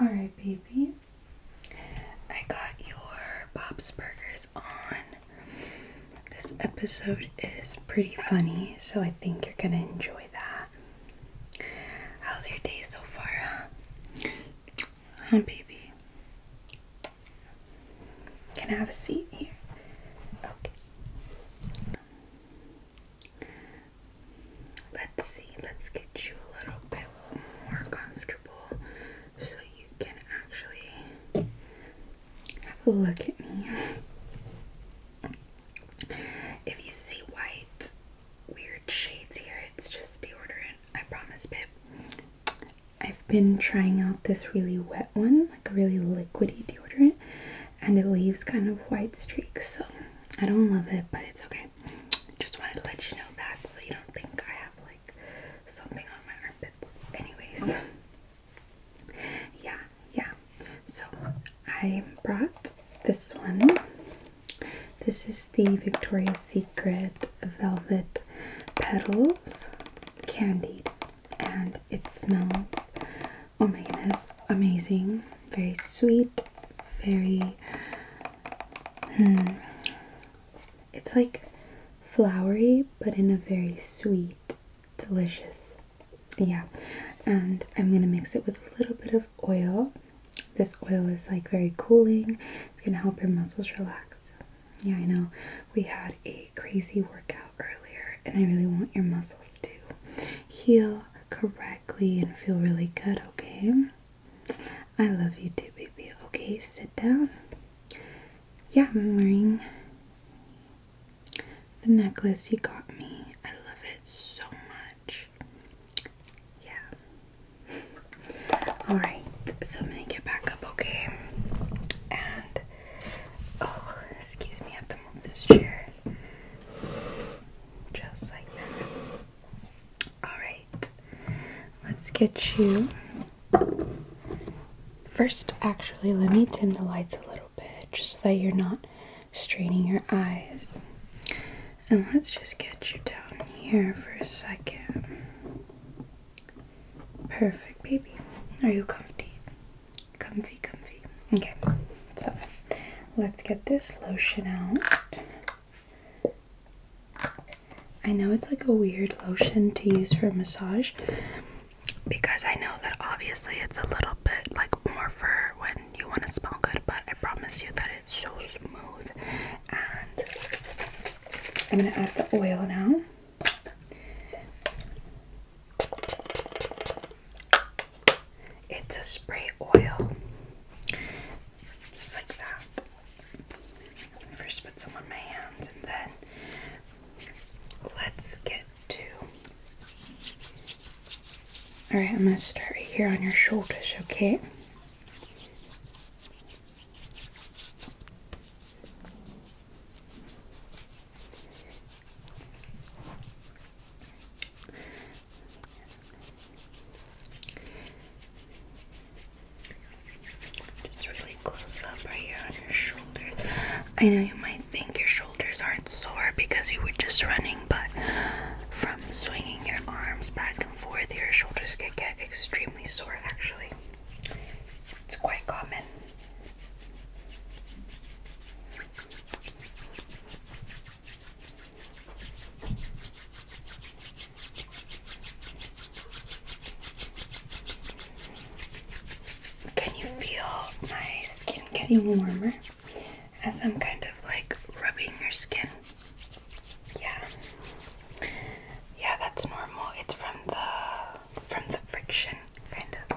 all right, baby. I got your Bob's Burgers on this episode is pretty funny, so I think you're gonna enjoy that. How's your day so far, huh? baby? Can I have a seat here? Okay. Let's see, let's get you a little bit more comfortable so you can actually have a look at me. if you see white, weird shades here, it's just deodorant. I promise, babe. I've been trying out this really wet one, like a really liquidy deodorant, and it leaves kind of white streaks, so I don't love it, but it's okay. Just wanted to let you know that so you don't think I have like something on my armpits. Anyways, Yeah, yeah. So I brought this one. This is the Victoria's Secret Velvet Petals Candied, and it smells oh my goodness amazing! Very sweet, very hmm. It's like flowery, but in a very sweet delicious yeah and i'm gonna mix it with a little bit of oil this oil is like very cooling it's gonna help your muscles relax yeah i know we had a crazy workout earlier and i really want your muscles to heal correctly and feel really good okay i love you too baby okay sit down yeah, I'm wearing the necklace you got me. I love it so much. Yeah. Alright, so I'm gonna get back up, okay? And oh, excuse me, I have to move this chair. Just like that. Alright, let's get you First, actually, let me dim the lights a little bit just so that you're not straining your eyes. And let's just get you down here for a second. Perfect, baby. Are you comfy? Comfy, comfy. Okay, so let's get this lotion out. I know it's like a weird lotion to use for massage, because I know that obviously it's a little bit like more for when you want to smell good, but I promise you that it's so smooth. And I'm gonna add the oil now. It's a spray oil, just like that. First, put some on my hands and then let's get to. Alright, I'm going to start right here on your shoulders, okay? I know you might think your shoulders aren't sore because you were just running, but from swinging your arms back and forth, your shoulders can get extremely sore actually. It's quite common. Can you feel my skin getting warmer as I'm kind of like rubbing your skin? Yeah. Yeah, that's normal. It's from the from the friction kind of.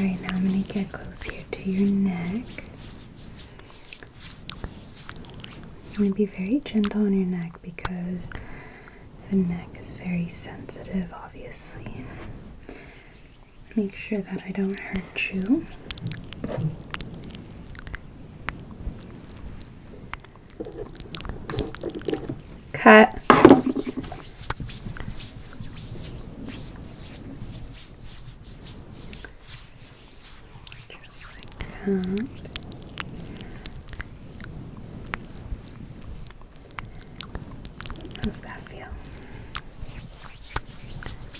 Alright, now I'm going to get close here to your neck. I'm going to be very gentle on your neck because the neck is very sensitive, obviously. Make sure that I don't hurt you. Cut. Just like that feel?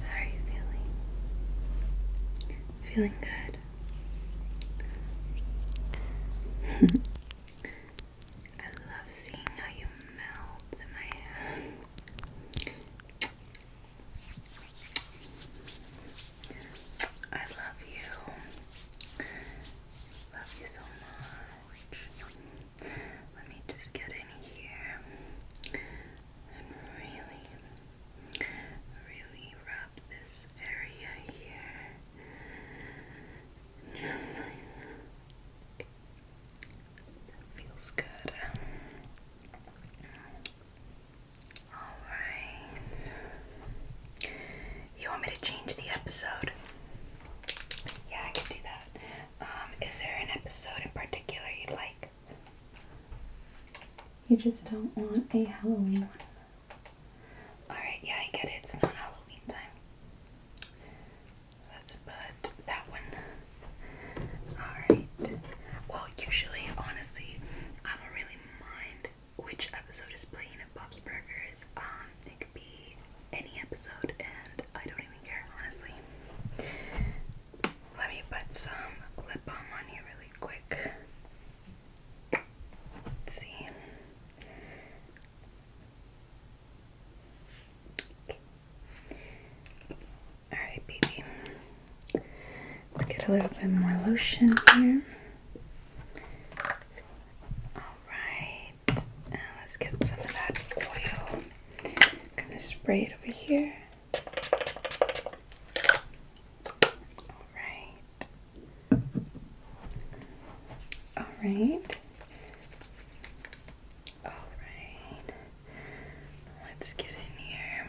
How are you feeling? Feeling good. I love seeing how you melt in my hands. I love you. Love you so much. Let me just get in here and really, really wrap this area here. feels good. Alright. You want me to change the episode? Yeah, I can do that. Um, is there an episode in particular you'd like? You just don't want a Halloween one. Alright, yeah, I get it. It's not Halloween time. Let's put that one. Alright. Well, usually, honestly, I don't really mind which episode is playing at Bob's Burgers. Um, it could be any episode, and I don't even care, honestly. Let me put some lip balm on you really quick. see. Alright, baby. Let's get a little bit more lotion here. Alright, let's get some of that oil. I'm gonna spray it over here. Alright. Alright. Alright. Let's get in here.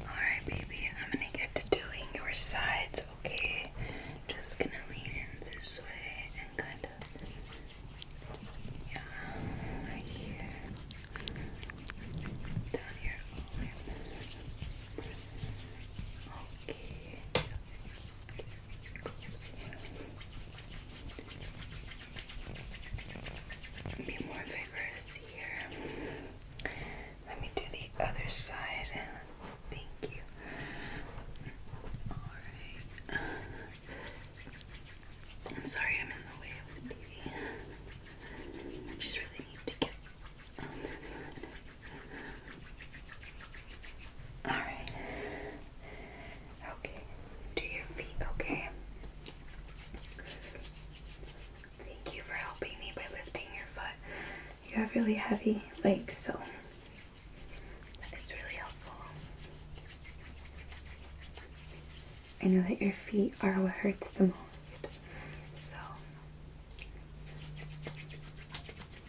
Alright, baby, I'm gonna get to doing your sides, okay? Just gonna lean in this way and kind of, yeah, right here, down here, be more vigorous here. Let me do the other side. Thank you. Alright. I'm sorry I'm in the way of the TV. I just really need to get Alright. Okay. Do your feet okay? Thank you for helping me by lifting your foot. You have really heavy legs, so it's really helpful. I know that your feet are what hurts the most. So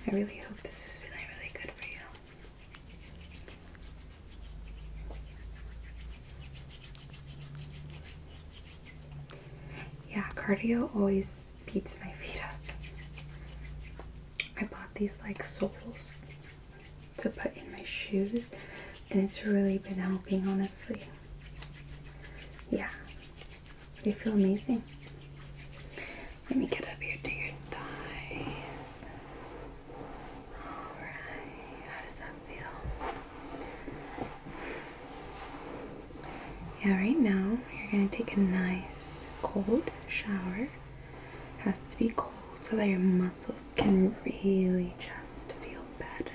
I really hope this is feeling really good for you. Yeah, cardio always beats my feet up. I bought these like soles to put in my shoes, and it's really been helping, honestly. Yeah, you feel amazing. Let me get up here to your thighs. Alright, how does that feel? Yeah, right now you're going to take a nice cold shower. Has to be cold so that your muscles can really just feel better.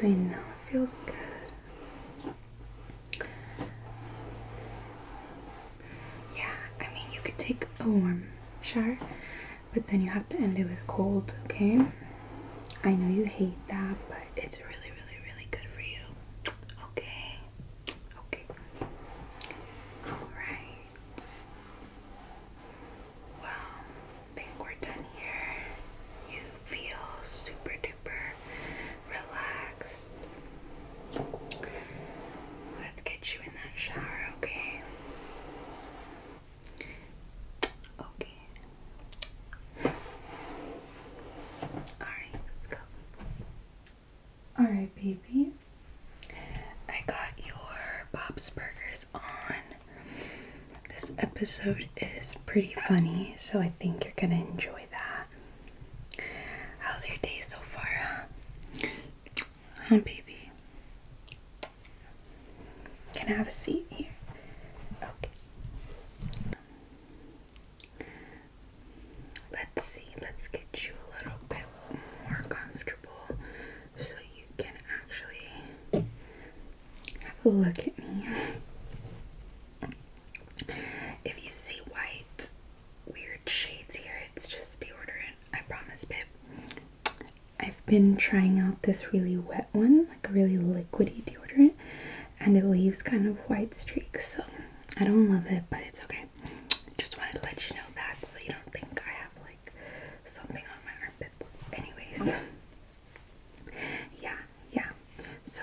I know, it feels good. Yeah, I mean, you could take a warm shower, but then you have to end it with cold, okay? I know you hate that, but it's really, really, really good for you. Okay? Okay. Alright. Alright. Well, I think we're done here. You feel super duper relaxed. Let's get you in that shower, okay? Okay. Alright, let's go. Alright, baby. I got your Bob's Burgers on. This episode is pretty funny, so I think you're gonna enjoy that. How's your day so far, huh? baby? Can I have a seat here? Okay. Let's see, let's get you a little bit more comfortable so you can actually have a look at me. If you see white weird shades here, it's just deodorant. I promise, babe. I've been trying out this really wet one, like a really liquidy deodorant, and it leaves kind of white streaks, so I don't love it, but it's okay. Just wanted to let you know that so you don't think I have like something on my armpits. Anyways, yeah, yeah. So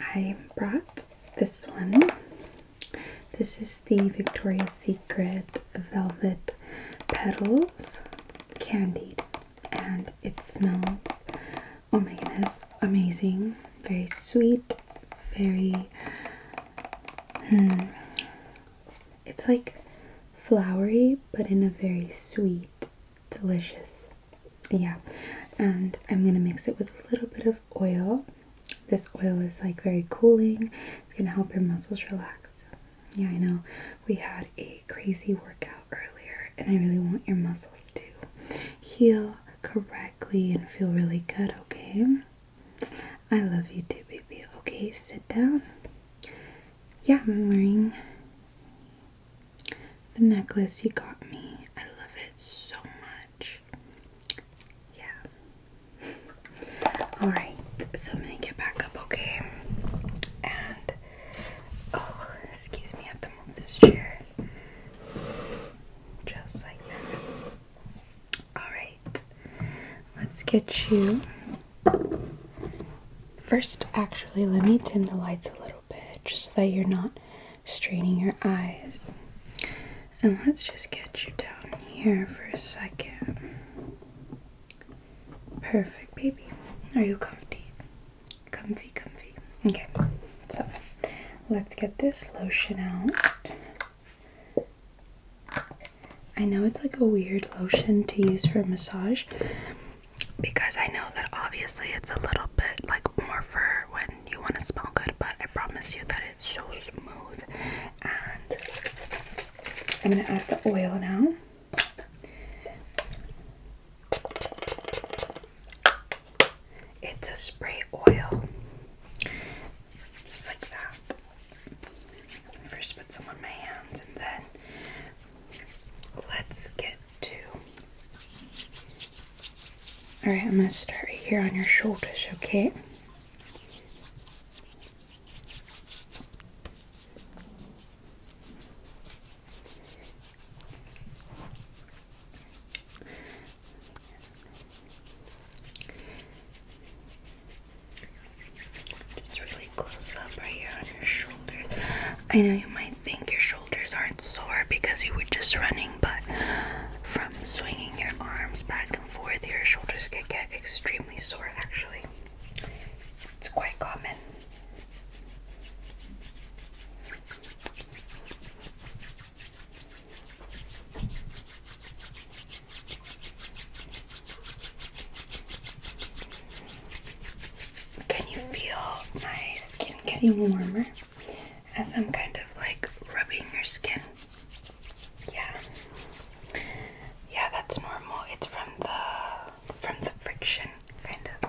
I brought this one. This is the Victoria's Secret Velvet Petals Candied, and it smells oh my goodness amazing! Very sweet, very. Hmm, it's like flowery, but in a very sweet, delicious. Yeah, and I'm gonna mix it with a little bit of oil. This oil is like very cooling, it's gonna help your muscles relax. Yeah, I know we had a crazy workout earlier, and I really want your muscles to heal correctly and feel really good, okay? I love you too, baby. Okay, sit down. Yeah, I'm wearing the necklace you got me. I love it so much. Yeah. Alright, so I'm gonna get back up, okay? And, oh, excuse me, I have to move this chair. Just like that. Alright, let's get you. First, actually, let me dim the lights a little bit just so that you're not straining your eyes. And let's just get you down here for a second. Perfect, baby. Are you comfy? Comfy, comfy. Okay, so let's get this lotion out. I know it's like a weird lotion to use for massage because I know that obviously it's a little bit like more for when you want to smell good, but I promise you that it's so smooth. And I'm gonna add the oil now. It's a spray oil, just like that. First, put some on my hands, and then let's get to. Alright, I'm going to start right here on your shoulders, okay? Just really close up right here on your shoulders. I know you might think your shoulders aren't sore because you were just running, but from swinging your arms back and forth, your shoulders can get extremely sore actually. It's quite common. Can you feel my skin getting mm-hmm. warmer as I'm kind of like rubbing your skin? Yeah. Yeah, that's normal. It's from the from the friction kind of.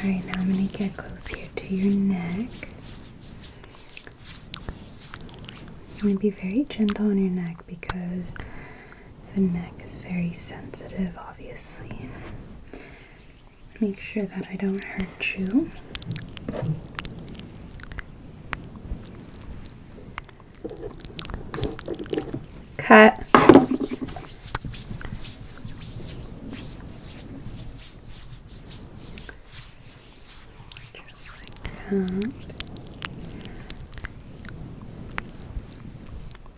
All right, now I'm going to get close here to your neck. I'm going to be very gentle on your neck because the neck is very sensitive, obviously. Make sure that I don't hurt you. Cut. Just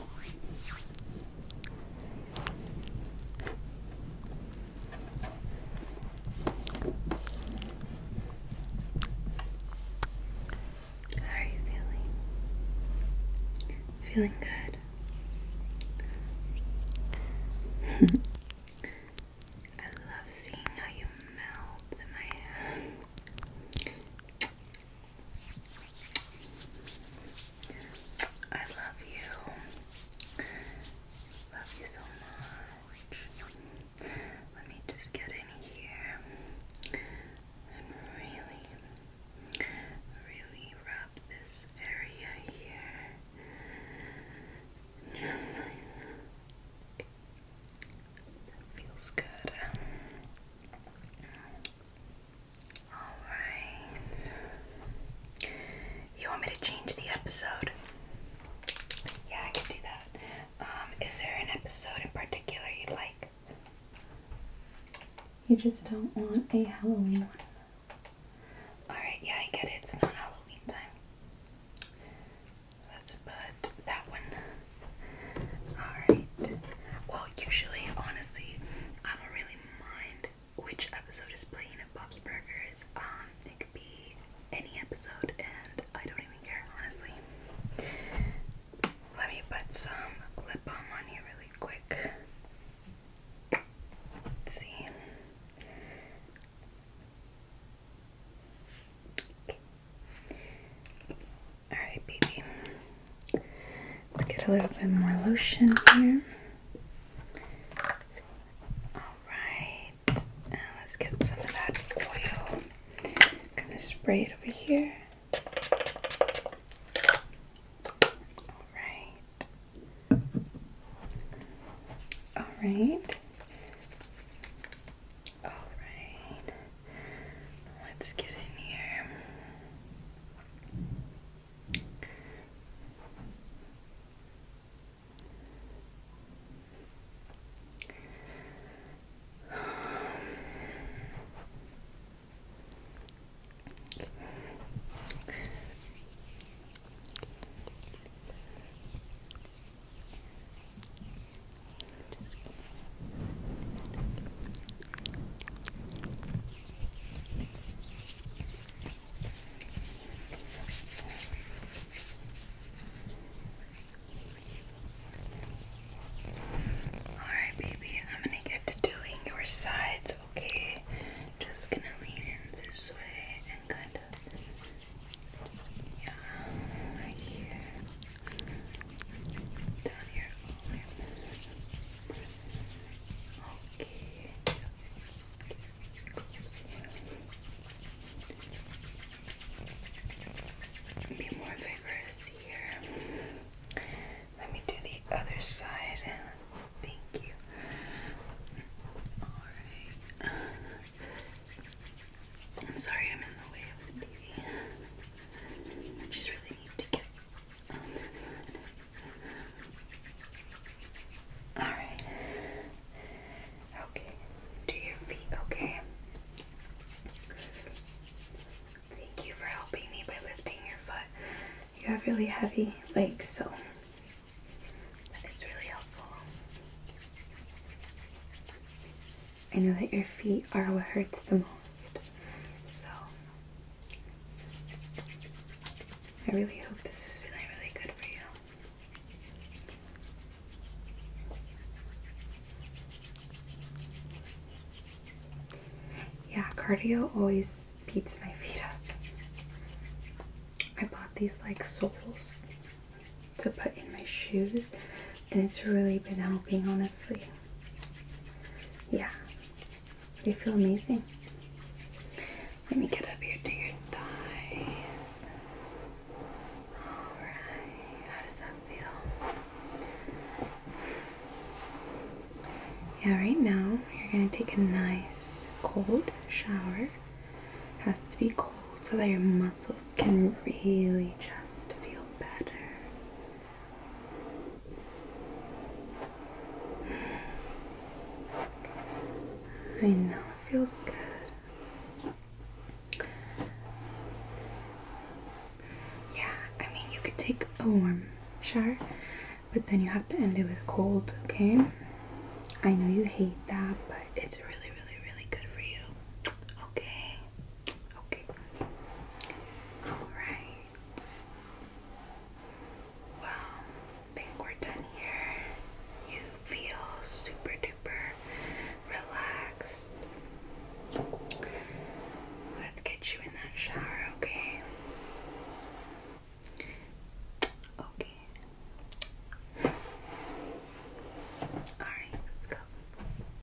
How are you feeling? Feeling good. I love seeing how you melt in my hands. I love you. Love you so much. Let me just get in here and really, really wrap this area here. feels good. Alright. You want me to change the episode? Yeah, I can do that. Um, is there an episode in particular you'd like? You just don't want a Halloween one. Alright, yeah, I get it. It's not Halloween time. Let's put that one Alright. Well, usually, honestly, I don't really mind which episode is playing at Bob's Burgers. Um, it could be any episode, and I don't even care, honestly. Let me put some lip balm on here really quick. see. Alright, baby. Let's get a little bit more lotion here. Alright. let's get some of that oil. gonna spray it over here. Alright. Alright. Alright. Let's get in here. Alright, baby, I'm gonna get to doing your sides, okay? Just gonna lean in this way and kind of, yeah, right here down here. Okay. Be more vigorous here. Let me do the other side. Thank you. Alright. I'm sorry I'm in the way of the TV. I just really need to get on this one. Alright. Okay. Do your feet okay? Thank you for helping me by lifting your foot. You have really heavy legs, so that is really helpful. I know that your feet are what hurts the most. So I really hope this is feeling really good for you. Yeah, cardio always beats my feet up. I bought these like soles to put in my shoes, and it's really been helping, honestly. Yeah, you feel amazing. Let me get up here to your thighs. Alright, how does that feel? Yeah, right now you're going to take a nice cold shower. Has to be cold so that your muscles can really just feel better. I know, it feels good. Yeah, I mean, you could take a warm shower, but then you have to end it with cold, okay? I know you hate that, but it's really, really, really good for you. Okay. Okay. Alright. Well, I think we're done here. You feel super duper relaxed. Let's get you in that shower, okay? Okay. Alright, let's go.